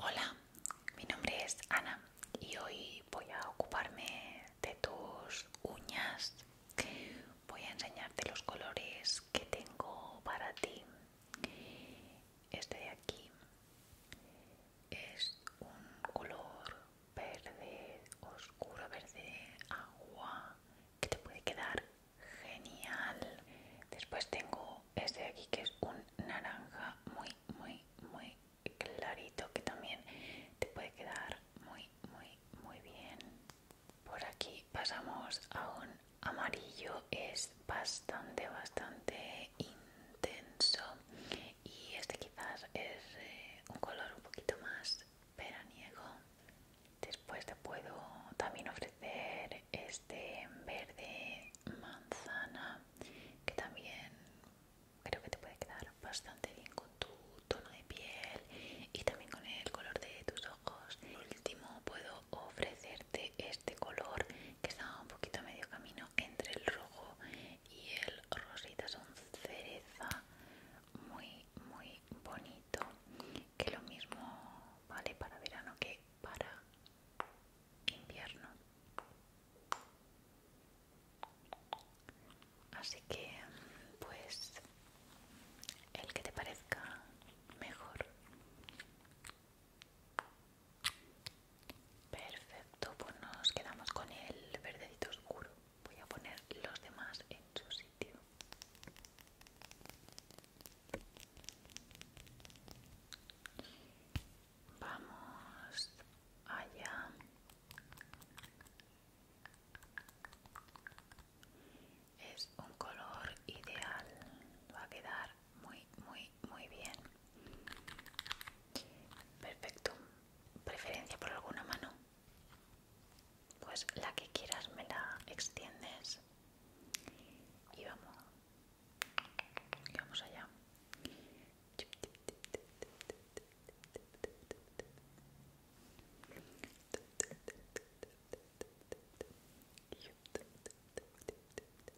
Hola, mi nombre es Ana y hoy voy a ocuparme de tus uñas. Voy a enseñarte los colores que tengo para ti este de aquí es un color verde oscuro verde agua que te puede quedar genial después tengo este de aquí que es un naranja muy muy muy clarito que también te puede quedar muy muy muy bien por aquí pasamos a un amarillo es bastante, bastante intenso y este quizás es eh, un color un poquito más veraniego. Después te puedo también ofrecer este verde manzana que también creo que te puede quedar bastante bien con tu tono de piel y también con el color de tus ojos último puedo ofrecerte este color que está un poquito a medio camino entre el rojo y el rosita, son cereza muy muy bonito que lo mismo vale para verano que para invierno. Así que pues el que te parezca mejor Perfecto, pues nos quedamos con el verdecito oscuro. Voy a poner los demás en su sitio. Vamos allá. Es un color ideal, va a quedar muy, muy, muy bien. Perfecto. ¿Preferencia por alguna mano? Pues la que quieras me la extiendes y vamos. Y vamos allá.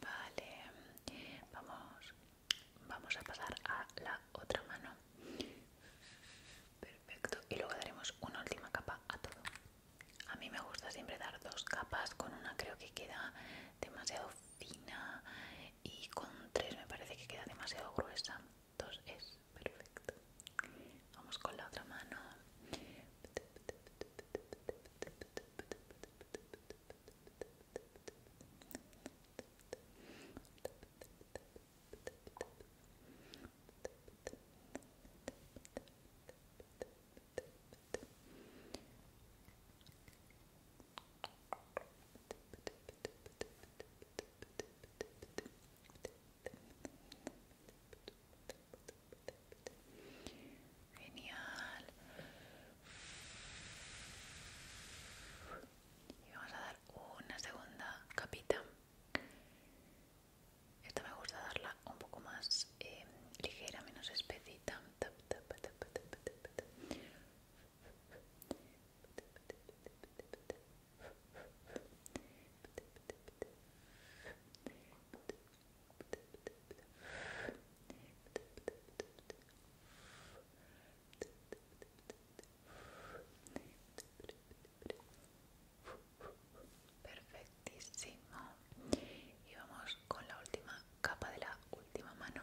Vale, vamos, vamos a pasar a la otra mano. Perfecto. Y luego daremos una última capa a todo. A mí me gusta siempre dar dos capas, con una creo que queda demasiado y con tres me parece que queda demasiado gruesa. Dos es perfecto. Vamos con la otra mano. Genial. Y vamos a dar una segunda capita. Esta me gusta darla un poco más eh, ligera, menos espesita. Perfectísimo. Y vamos con la última capa de la última mano.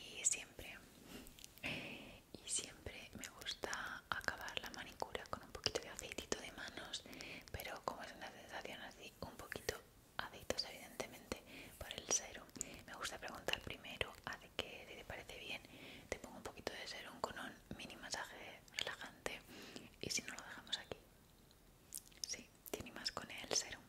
y siempre y siempre me gusta acabar la manicura con un poquito de aceitito de manos pero como es una sensación así un poquito adictos evidentemente por el serum me gusta preguntar primero a qué te parece bien te pongo un poquito de serum con un mini masaje relajante y si no lo dejamos aquí Sí, tiene más con el serum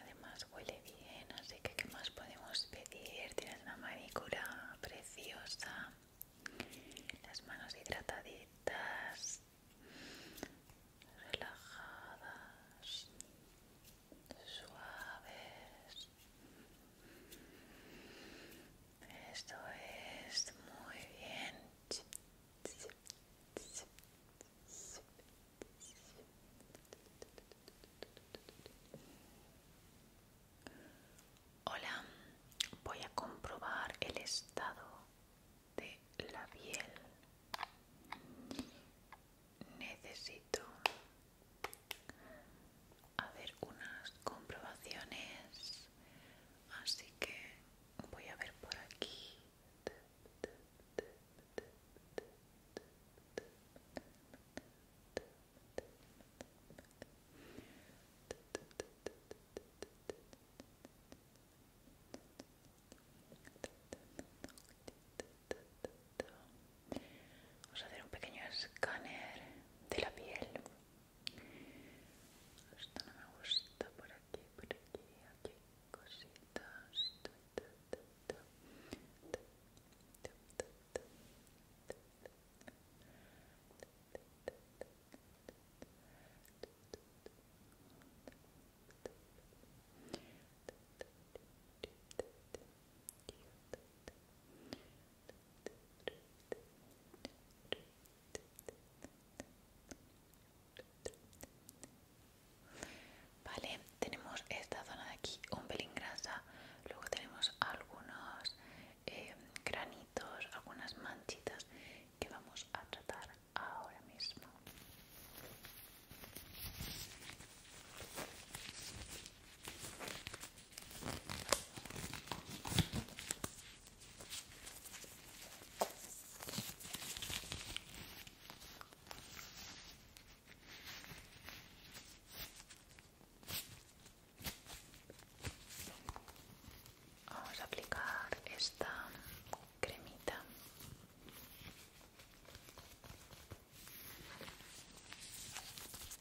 Además huele bien, así que ¿qué más podemos pedir? Tienes una manicura preciosa, las manos hidrataditas, relajadas, suaves. Esto es muy bien. Hola, voy a comprobar el estado de la piel. Necesito hacer unas comprobaciones así que voy a ver por aquí Vamos a hacer un pequeño escáner de la piel. Esto no me gusta por aquí, por aquí, aquí, cositas. Vale, tenemos esta zona de aquí un pelín grasa, luego tenemos algunos eh, granitos, algunas manchitas que vamos a tratar ahora mismo. Vamos a aplicar esta cremita.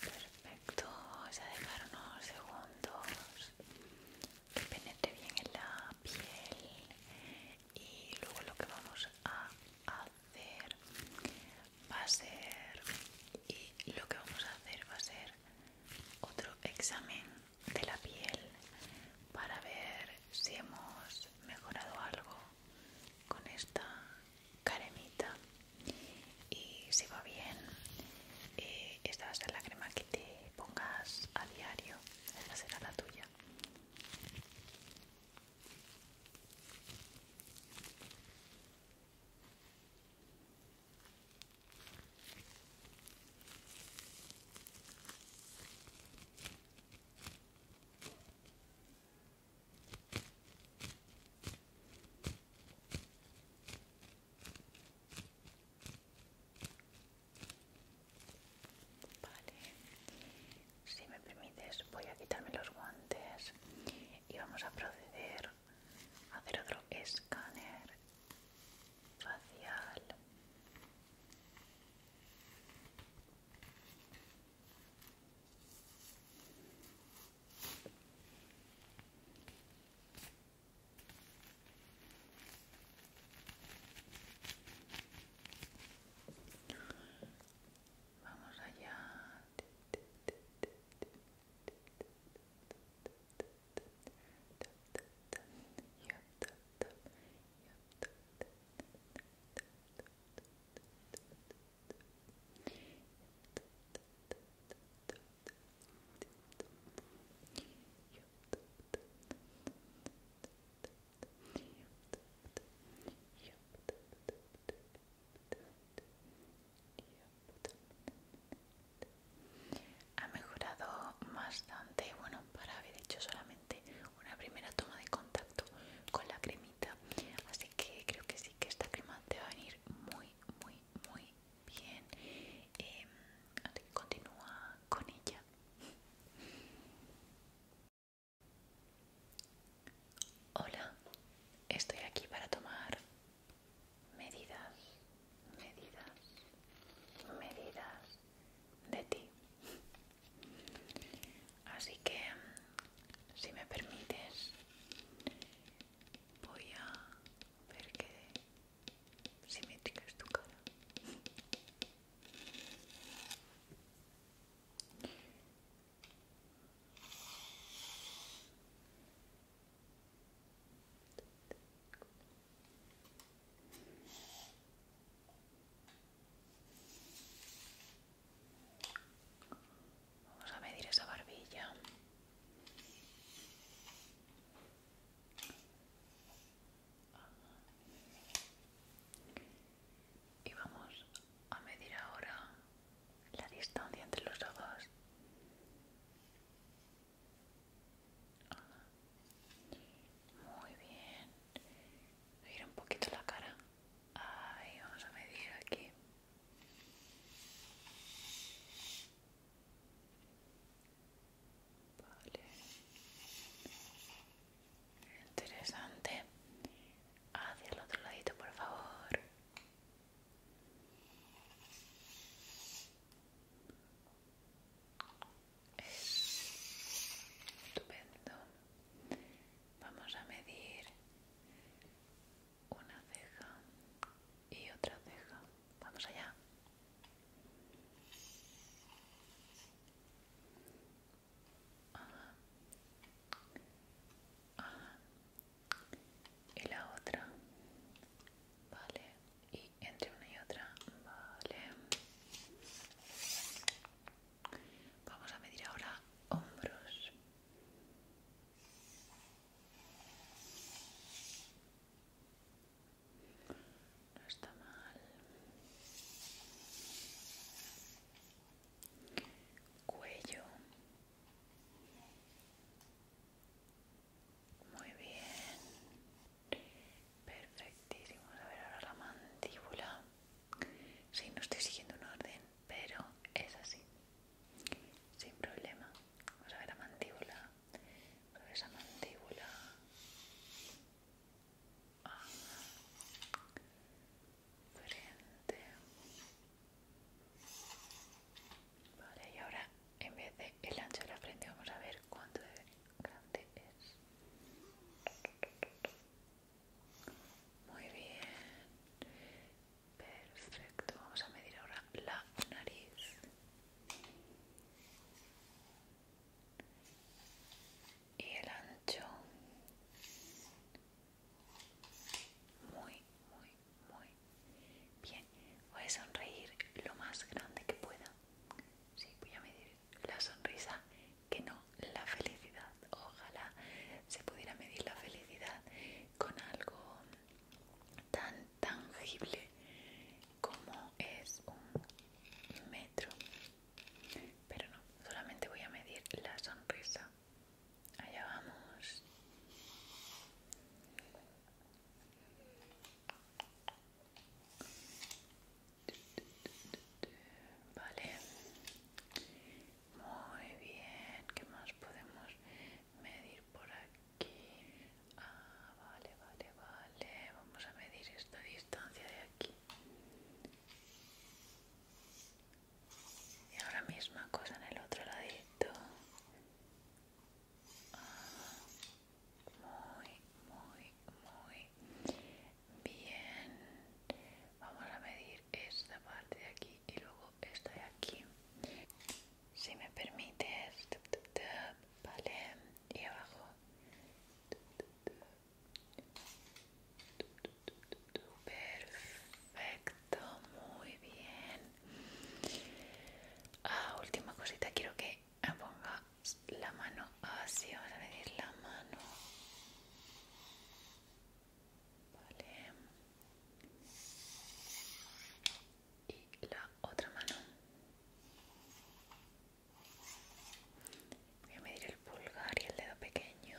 Perfecto, vamos a dejar unos segundos que penetre bien en la piel y luego lo que vamos a hacer va a ser y lo que vamos a hacer va a ser otro examen de la piel para ver si hemos mejorado algo con esta caremita y si va bien eh, esta va a ser la crema que te pongas a diario esta será la tuya si me permites voy a quitarme los guantes y vamos a proceder a hacer otro escáner facial. Vamos allá. Ha mejorado bastante, bueno, para haber hecho solamente una primera toma de contacto con la cremita así que creo que sí que esta crema te va a venir muy muy muy bien em, que continúa con ella Hola, estoy aquí para tomar medidas, medidas, medidas de ti. Así que, si me permites, voy a ver que simétrica es tu cara. Vamos a medir esa barbilla. Y vamos a medir ahora la distancia entre los ojos. Muy bien. mira un poquito la cara. Ahí vamos a medir aquí. Vale. Interesante. Hacia el otro ladito, por favor. Estupendo. Vamos a medir una ceja y otra ceja. Vamos allá. Y la otra. Vale. Y entre una y otra. Vale. Vamos a medir ahora hombros. No está mal. Cuello. Muy bien. Perfectísimo. A ver ahora la mandíbula. Sí, no estoy siguiendo un orden, pero es así. Sin problema. Vamos a ver la mandíbula. Vamos a ver esa mandíbula. Ah. Frente. Vale, y ahora en vez de el ancho de la frente vamos a ver cuánto debe grande es. Muy bien. Perfecto. Vamos a medir ahora la nariz. Y el ancho. Muy, muy, muy bien. Voy a sonreír lo más grande que pueda. Sí, voy a medir la sonrisa que no la felicidad. Ojalá se pudiera medir la felicidad con algo tan tangible como es un metro. Pero no, solamente voy a medir la sonrisa. Allá vamos. Vale. Muy bien. ¿Qué más podemos medir por aquí? Ah, vale, vale, vale. Vamos a medir esta distancia de aquí. Y ahora misma cosa en el otro ladito. Ah muy muy muy bien vamos a medir esta parte de aquí y luego esta de aquí si me permites vale y abajo perfecto muy bien ah, última cosita quiero que ponga la mano así, vamos a medir la mano. Vale. Y la otra mano. Voy a medir el pulgar y el dedo pequeño.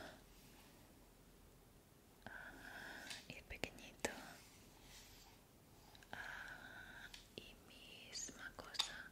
Ah, y el pequeñito. Ah, y misma cosa.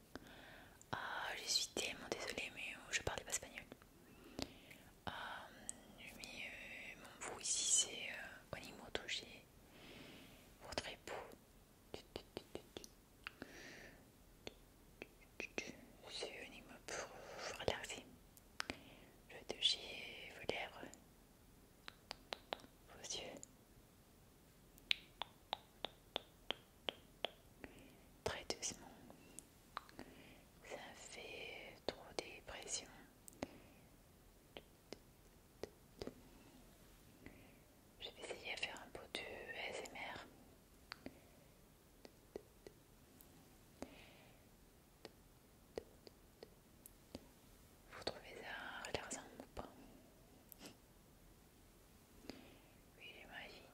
ah, je suis tellement désolée, mais euh, je parle pas espagnol. Je ah, mais euh, mon vous ici, c'est euh, toucher Votre époux. C'est Onimo pour vous Je touche vos lèvres, vos yeux très doucement. Ça fait trop de pression. Je vais essayer à faire un peu de smr Vous trouvez ça relaxant ou pas Oui, j'imagine.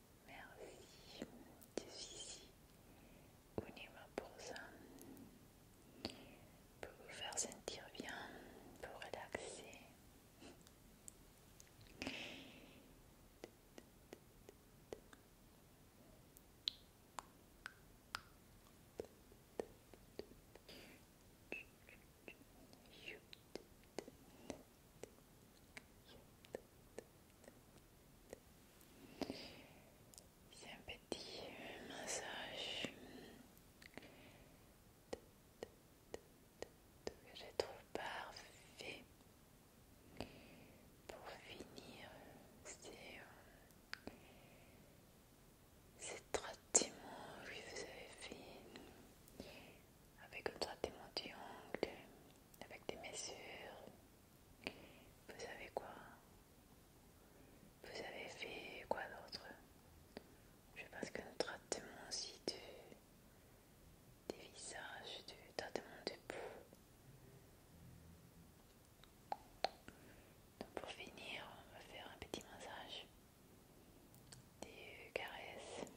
Merci, ici, Unima pour ça. Pour vous faire sentir bien, pour relaxer. C'est un petit massage que j'ai trouvé parfait pour finir ces euh, trois petits que vous avez fait avec un traitement du ongle, avec des mesures, Vous savez quoi Vous avez fait quoi d'autre Je pense que traitement aussi du, des visages, du traitement de peau. Donc pour finir, on va faire un petit massage des caresses.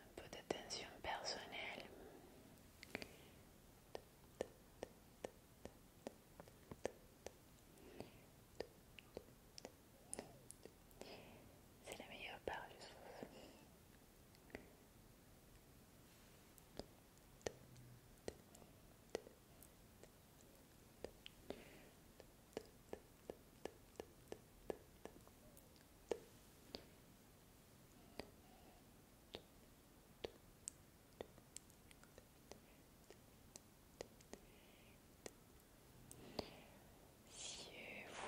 Un peu d'attention personnelle. C'est la meilleure part, je trouve. Si vous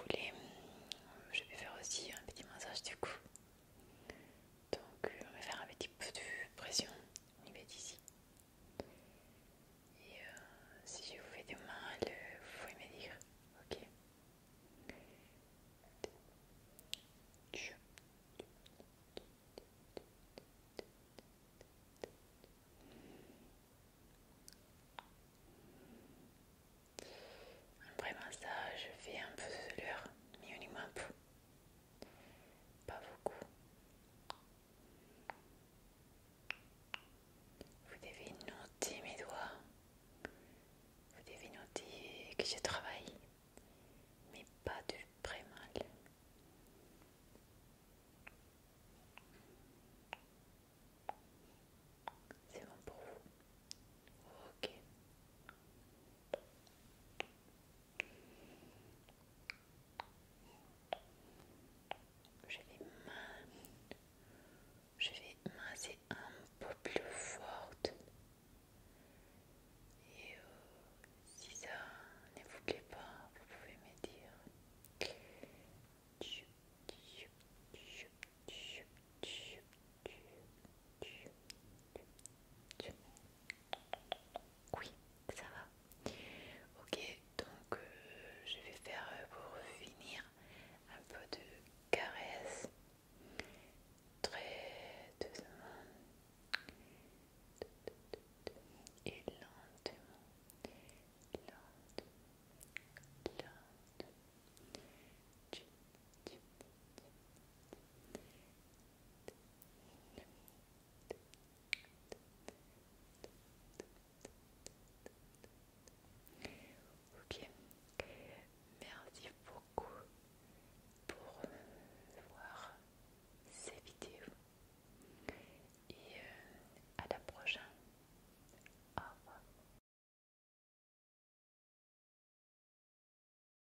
voulez, je vais faire aussi un petit massage du cou. Donc euh, on va faire un petit peu de pression On y va d'ici. Et euh, si je vous fais du mal, vous pouvez me dire, ok après massage, ben, je fais un peu de l'heure, mais uniquement un peu. Pas beaucoup. Vous devez noter mes doigts. Vous devez noter que je travaille, mais pas de très mal. C'est bon pour vous. Ok. Je vais je vais masser un peu plus forte et euh, si ça ne vous plaît pas vous pouvez me dire oui, ça va. Ok, donc euh, je vais faire euh, pour finir un peu de caresse. Très doucement. Et lentement. lentement, lentement. Ok, merci beaucoup pour voir ces vidéos et euh, à la prochaine. Au revoir.